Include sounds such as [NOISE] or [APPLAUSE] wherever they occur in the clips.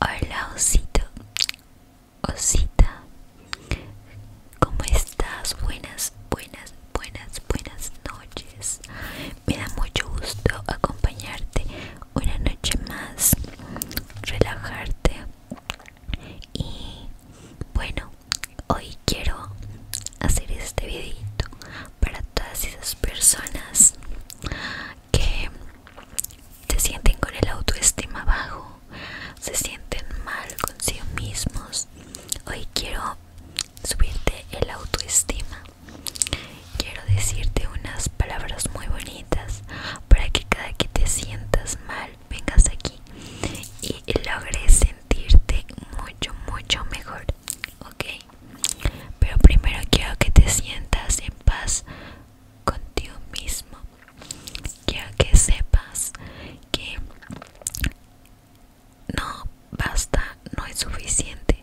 Hola osito, osita, ¿cómo estás? Buenas, buenas, buenas, buenas noches. Me da mucho gusto acompañarte una noche más, relajarte y bueno, hoy quiero hacer este videito para todas esas personas que se sienten con el autoestima bajo, se sienten mal con sí mismos. Hoy quiero subirte el autoestima. Quiero decirte unas palabras muy bonitas para que cada que te sientas mal vengas aquí y logres sentirte mucho, mucho mejor ok pero primero quiero que te sientas en paz contigo mismo quiero que sepas que no basta no es suficiente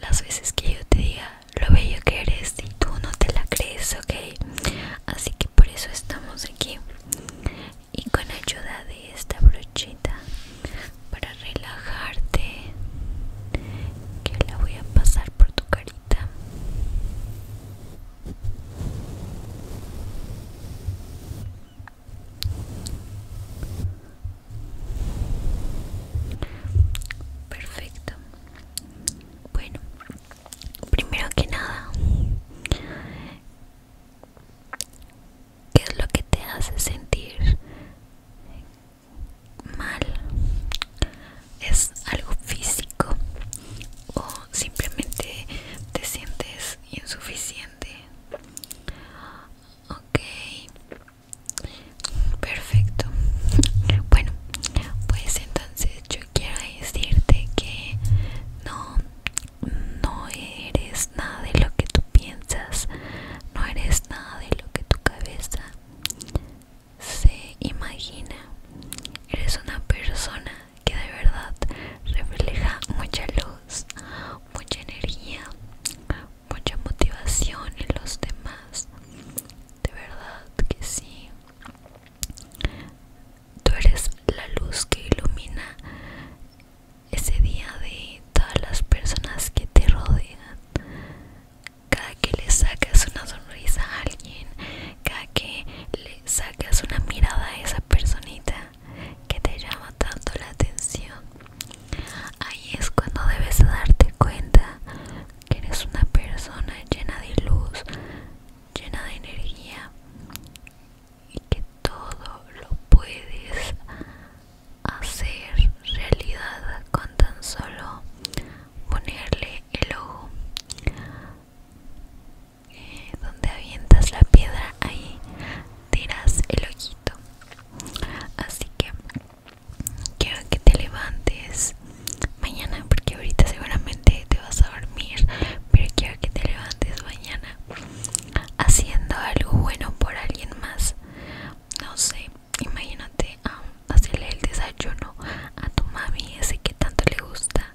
las veces que yo te diga lo bello que eres y tú no te la crees ok así que por eso estamos aquí y con ayuda de esta brochita para relajarte que la voy a pasar por tu carita perfecto bueno primero que nada ¿Qué es lo que te hace sentir mal es algo físico o simplemente te sientes insuficiente ok perfecto bueno pues entonces yo quiero decirte que no no eres nada de lo que tú piensas no eres nada de lo que tu cabeza se imagina. Eres una persona que de verdad refleja mucha luz, mucha energía, mucha motivación en los demás. De verdad que sí. Tú eres la luz que ilumina ese día de todas las personas que te rodean. Cada que le sacas una sonrisa a alguien, cada que le sacas una mirada a esa personita que te llama tanto la atención, ahí es cuando debes darte cuenta que eres una persona llena de luz, llena de energía y que todo lo puedes hacer realidad con tan solo ponerle el ojo eh, donde avientas la piedra ahí tiras el ojito así que quiero que te levantes mañana porque ahorita seguramente te vas a dormir pero quiero que te levantes mañana haciendo algo bueno por alguien más no sé imagínate hacerle el desayuno a tu mami ese que tanto le gusta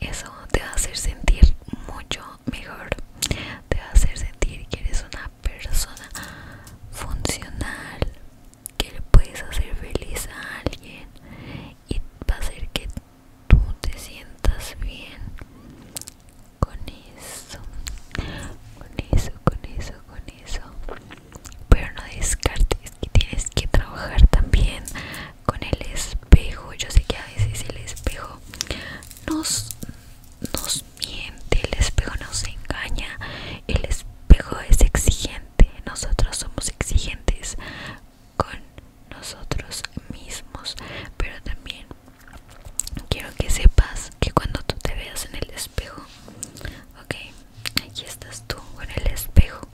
eso te va a hacer sentir mucho mejor te va a hacer sentir que eres una persona funcional que le puedes hacer feliz a alguien y va a hacer que tú te sientas bien con eso con eso con eso con eso pero no descartes que tienes que trabajar también con el espejo yo sé que a veces el espejo nos nos miente el espejo nos engaña el espejo es exigente nosotros somos exigentes con nosotros mismos pero también quiero que sepas que cuando tú te veas en el espejo, ok, aquí estás tú en el espejo,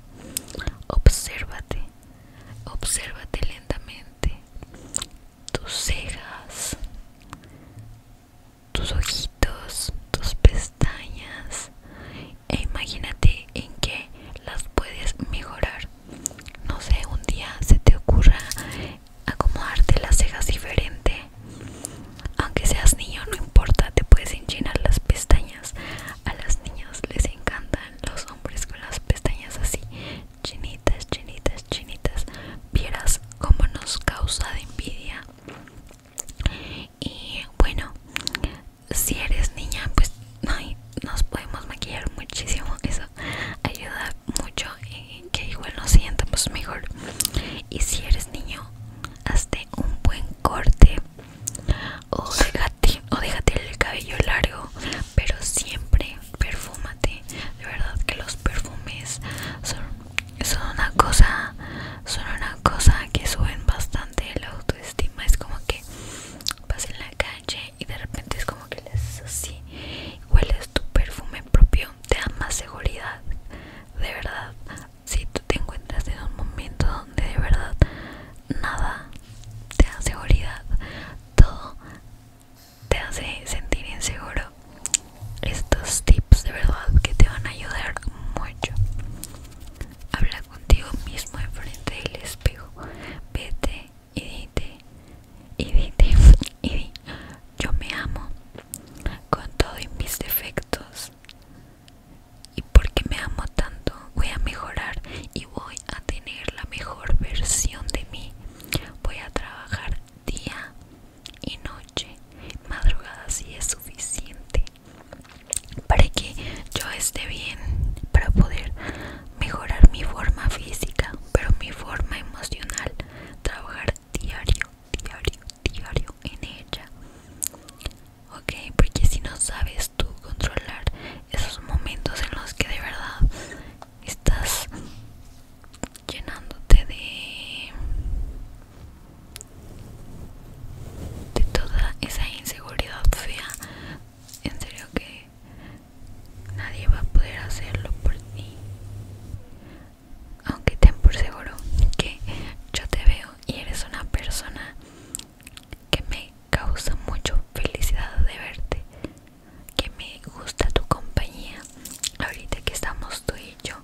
obsérvate, obsérvate lentamente, tus cejas, tus ojitos, tus pestañas e imagínate en qué las puedes mejorar. No sé, un día se te ocurra acomodarte las cejas diferente. Aunque seas niño, no importa, te puedes enchinar las pestañas. A las niñas les encantan los hombres con las pestañas así, chinitas, chinitas, chinitas. Vieras como nos causa de envidia. Y bueno, si eres niña, pues nos podemos maquillar muchísimo. Eso ayuda mucho que igual no pues mejor y si eres niño hazte un buen corte o déjate, o déjate el cabello largo pero siempre perfúmate de verdad que los perfumes son, una cosa son una cosa que suben bastante la autoestima es como que vas en la calle y de repente es como que le haces así hueles tu perfume propio te da más seguridad de verdad si tú te encuentras en un momento donde de verdad nada te da seguridad todo te hace sentir inseguro estos tips de verdad que te van a ayudar mucho habla contigo mismo enfrente del espejo vete y dite y dite [LAUGHS] y di yo me amo con todos mis defectos. Y porque me amo tanto, voy a mejorar y voy a tener la mejor versión de mí. Voy a trabajar día y noche, madrugada si es suficiente, para que yo esté bien, para poder mejorar mi forma física, pero mi forma emocional, trabajar diario diario, diario en ella. Ok, porque si no sabes tú controlar esos momentos en los que de verdad estás llenándote de, de toda esa inseguridad fea, en serio que nadie va a poder hacerlo por ti aunque ten por seguro que yo te veo y eres una persona que me causa mucho felicidad de verte, que me gusta tu compañía. Ahorita que estamos tú y yo,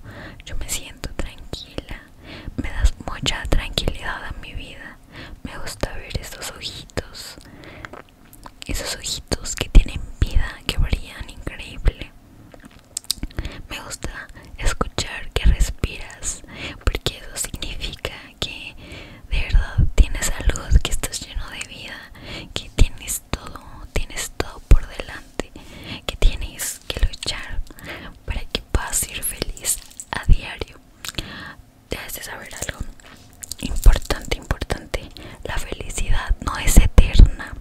yo me siento tranquila, me das mucha tranquilidad a mi vida. Me gusta ver esos ojitos, esos ojitos que tienen vida, que brillan increíble me gusta escuchar que respiras porque eso significa que de verdad tienes salud que estás lleno de vida que tienes todo tienes todo por delante que tienes que luchar para que puedas ir feliz a diario debes de saber algo importante importante la felicidad no es eterna.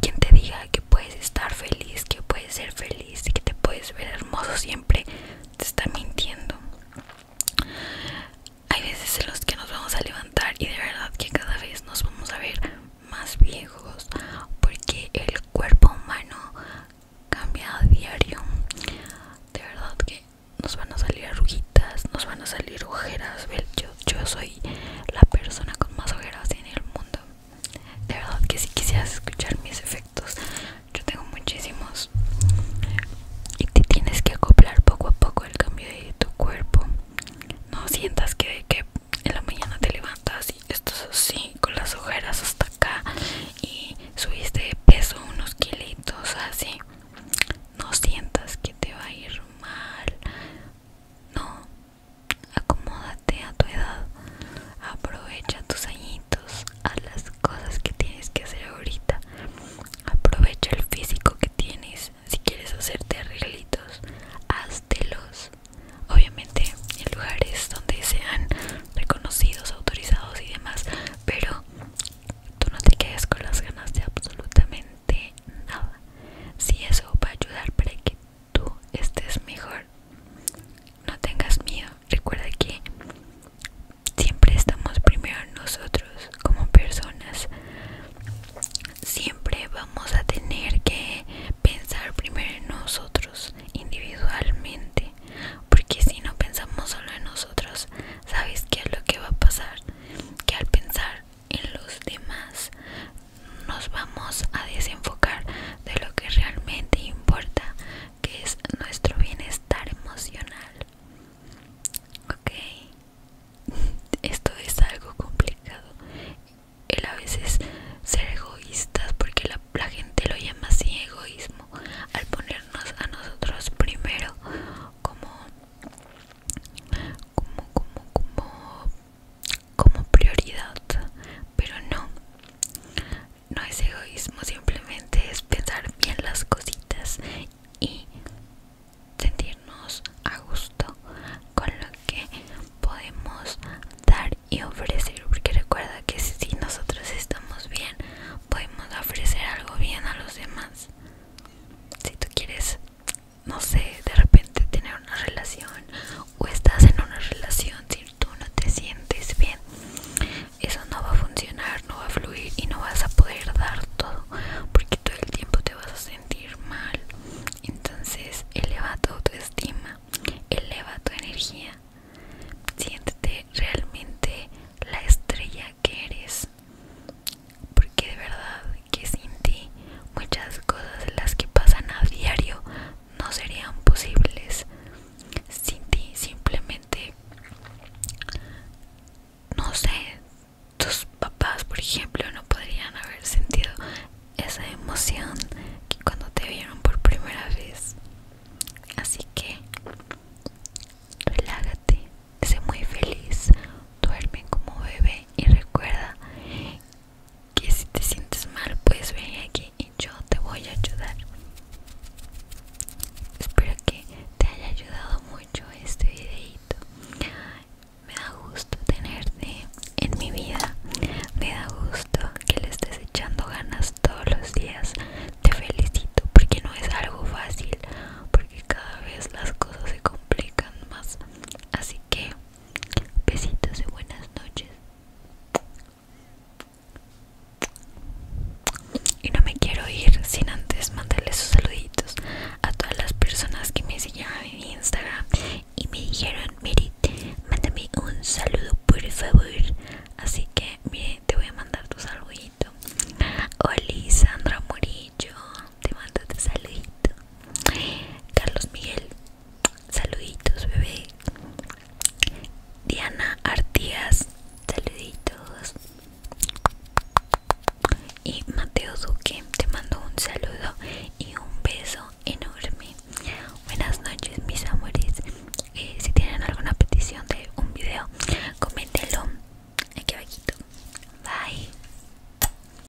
Quien te diga que puedes estar feliz, que puedes ser feliz y que te puedes ver hermoso siempre, te está mintiendo. Hay veces en los que nos vamos a levantar y de verdad que cada vez nos vamos a ver más viejos porque el cuerpo humano cambia a diario. De verdad que nos van a salir arruguitas, nos van a salir ojeras, yo, soy la persona con más ojeras en el mundo. De verdad que si quisieras escuchar mis efectos, yo tengo muchísimos. Y te tienes que acoplar poco a poco el cambio de tu cuerpo. No sientas que, que en la mañana te levantas y estás así, con las ojeras hasta acá, y subiste de peso unos kilitos así. No sientas que te va a ir mal. No, acomódate a tu edad, aprovecha tus añitos, a las cosas que tienes que hacer ahorita, aprovecha el físico que tienes, si quieres hacerte arreglitos, háztelos. Obviamente en lugares donde sean reconocidos, autorizados y demás, pero tú no te quedes con las ganas de absolutamente de nada si eso va a ayudar para que tú estés mejor no tengas miedo recuerda que siempre estamos primero nosotros como personas siempre vamos a tener que pensar primero en nosotros individualmente porque si no pensamos solo en nosotros sabes qué es lo que va a pasar que al pensar en los demás nos vamos a desenfocar de lo que realmente importa que es nuestro bienestar emocional ok [LAUGHS] esto es algo complicado El a veces ser egoístas porque la, la gente lo llama así egoísmo al ponernos a nosotros primero como como como como como prioridad, pero no, no es egoísmo, simplemente es pensar bien las cositas y sentirnos a gusto con lo que podemos dar y ofrecer, porque recuerda que si nosotros estamos bien, podemos ofrecer algo bien a los demás. Si tú quieres no sé, de repente tener una relación o estás en una relación si tú no te sientes bien, eso no va a funcionar, no va a fluir y no vas a poder dar todo porque todo el tiempo te vas a sentir mal. Entonces eleva tu autoestima, eleva tu energía, siéntete realmente la estrella que eres porque de verdad que sin ti muchas cosas las que pasan a diario no serían posibles. Sin ti simplemente, no sé, tus papás por ejemplo no podrían haber sentido esa emoción que cuando te vieron por primera vez. Así que relájate, sé muy feliz, duerme como bebé y recuerda que si te sientes mal pues ven aquí y yo te voy a ayudar espero que te haya ayudado mucho este videito me da gusto tenerte en mi vida me da gusto que le estés echando ganas todos los días te felicito porque no es algo fácil porque cada vez las cosas se complican más así que Besitos y buenas noches. Y no me quiero ir sin antes Mandarle sus saluditos a todas las personas que me siguieron en Instagram y me dijeron, Miren mándame un saludo por favor. Así que, miren, te voy a mandar tu saludito. Hola Sandra Murillo, te mando tu saludito. Carlos Miguel, saluditos bebé. Diana Artigas, saluditos. Y Mateo Duque, te mando un saludo y un beso enorme. Buenas noches mis amores. Eh, si tienen alguna petición de un video, coméntelo. aquí abajito. Bye.